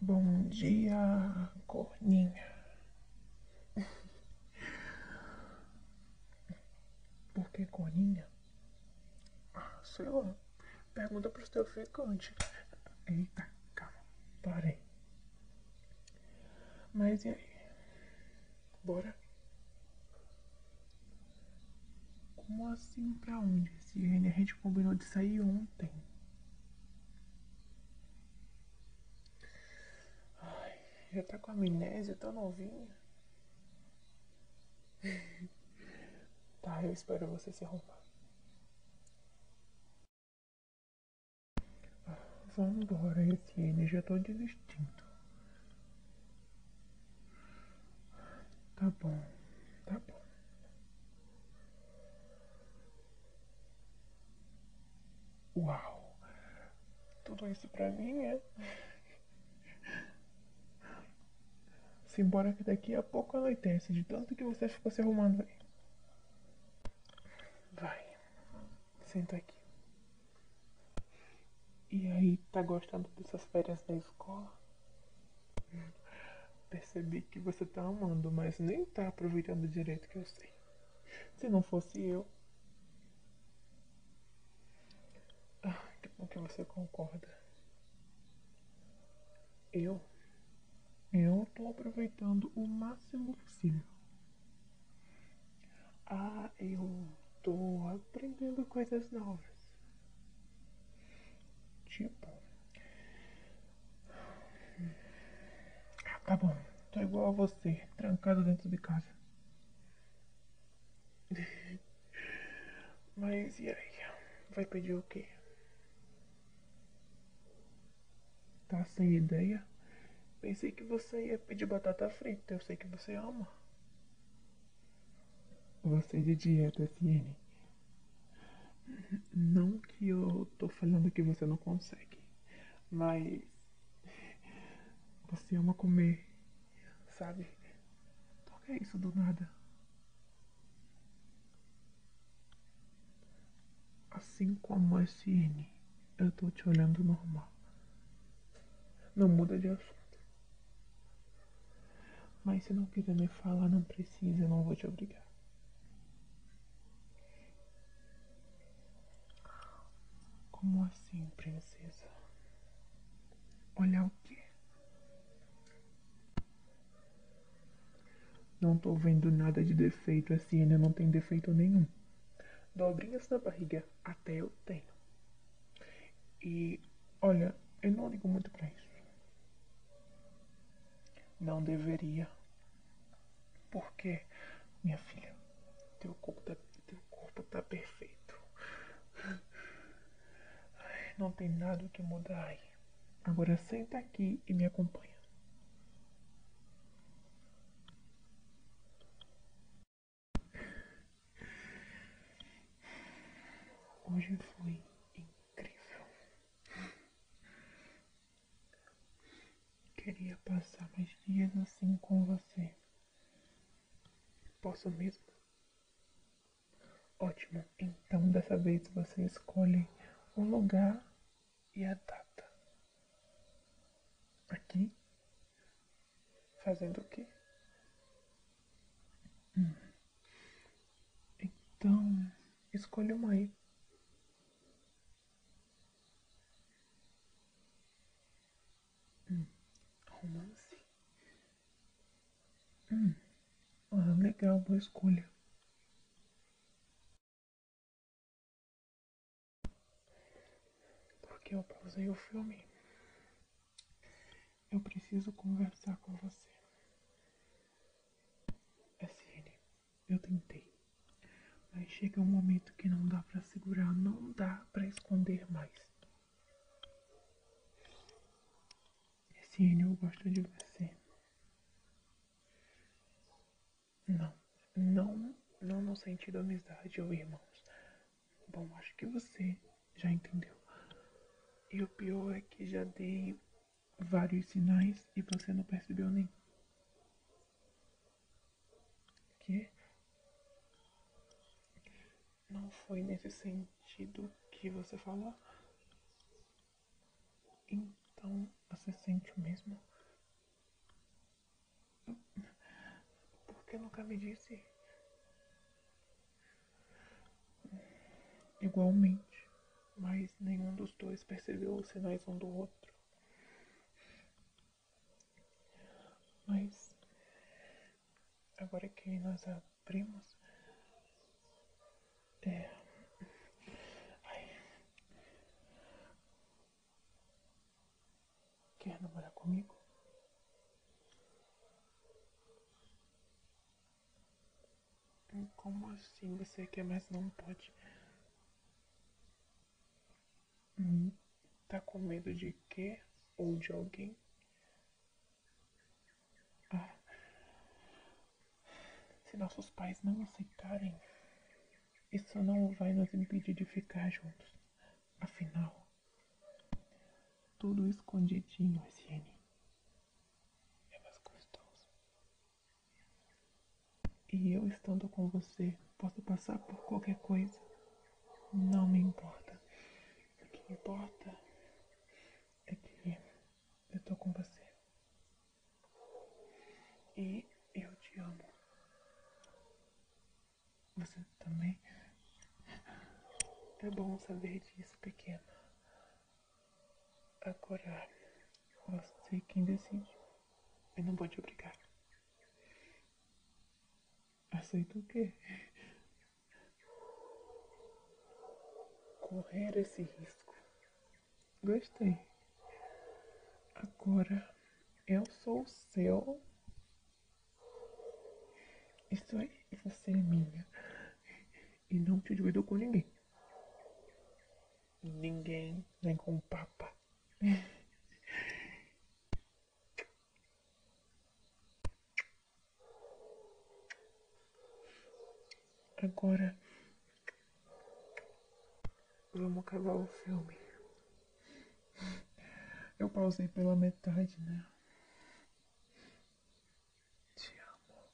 Bom dia, corninha. Por que corninha? Ah, sei lá. Pergunta pro teu ficante. Eita, calma. Parei. Mas e aí? Bora? Como assim pra onde? Se a gente combinou de sair ontem. Ai, já tá com amnésia tão novinha. tá, eu espero você se arrumar. Ah, vambora, Etienne, já tô desistindo. Tá bom, tá bom. Uau! Tudo isso pra mim é. Simbora que daqui a pouco anoitece de tanto que você ficou se arrumando aí. Vai, senta aqui. E aí, tá gostando dessas férias da escola? Percebi que você tá amando, mas nem tá aproveitando direito que eu sei. Se não fosse eu. Ah, que bom que você concorda. Eu. Eu tô aproveitando o máximo possível. Ah, eu tô aprendendo coisas novas. Tipo. tá bom, tô igual a você, trancado dentro de casa. Mas e aí? Vai pedir o quê? Tá sem ideia? Pensei que você ia pedir batata frita, eu sei que você ama. Você de dieta, Siene. Não que eu tô falando que você não consegue, mas você ama comer, sabe? Toca isso do nada? Assim como a Siene. Eu tô te olhando normal. Não muda de assunto. Mas se não quiser me falar, não precisa, eu não vou te obrigar. Como assim, princesa? Olha o quê? Não tô vendo nada de defeito, a não tem defeito nenhum. Dobrinhas na barriga, eu tenho. E olha, eu não ligo muito para isso. Não deveria. Porque, minha filha, teu corpo tá, teu corpo tá perfeito. Não tem nada que mudar Agora senta aqui e me acompanha. Hoje foi incrível. Queria passar mais dias assim com você. Posso mesmo? Ótimo. Então, dessa vez você escolhe um lugar e a data. Aqui? Fazendo o quê? Hum. Então, escolhe uma aí. Hum. Romance? Hum. Ah, legal, boa escolha. Porque eu pausei o filme. Eu preciso conversar com você. SN, eu tentei. Mas chega um momento que não dá para segurar, não dá para esconder mais. SN, eu gosto de você. Não, não, não no sentido amizade ou irmãos. Bom, acho que você já entendeu. E o pior é que já dei vários sinais e você não percebeu nenhum. Que não foi nesse sentido que você falou. Então você sente o mesmo? Porque nunca me disse? Igualmente, mas nenhum dos dois percebeu os sinais um do outro. Mas agora que nós a primos. É. Quer namorar comigo? Como assim você quer, mas não pode? tá com medo de quê? Ou de alguém? Se nossos pais não aceitarem, isso não vai nos impedir de ficar juntos. Afinal, tudo escondidinho, Siene. É mais gostoso. E eu estando com você, posso passar por qualquer coisa. Não me importa. O que importa é que eu tô com você. E eu te amo. Você também. É bom saber disso, pequena. Agora, você quem decide. Eu não vou te obrigar aceito o quê? Correr esse risco. Gostei. Agora eu sou o seu. Isso aí, é, e você é minha. E não te divido com ninguém. Ninguém, nem com o Papa. Agora vamos acabar o filme. Eu pausei pela metade, né? Te amo.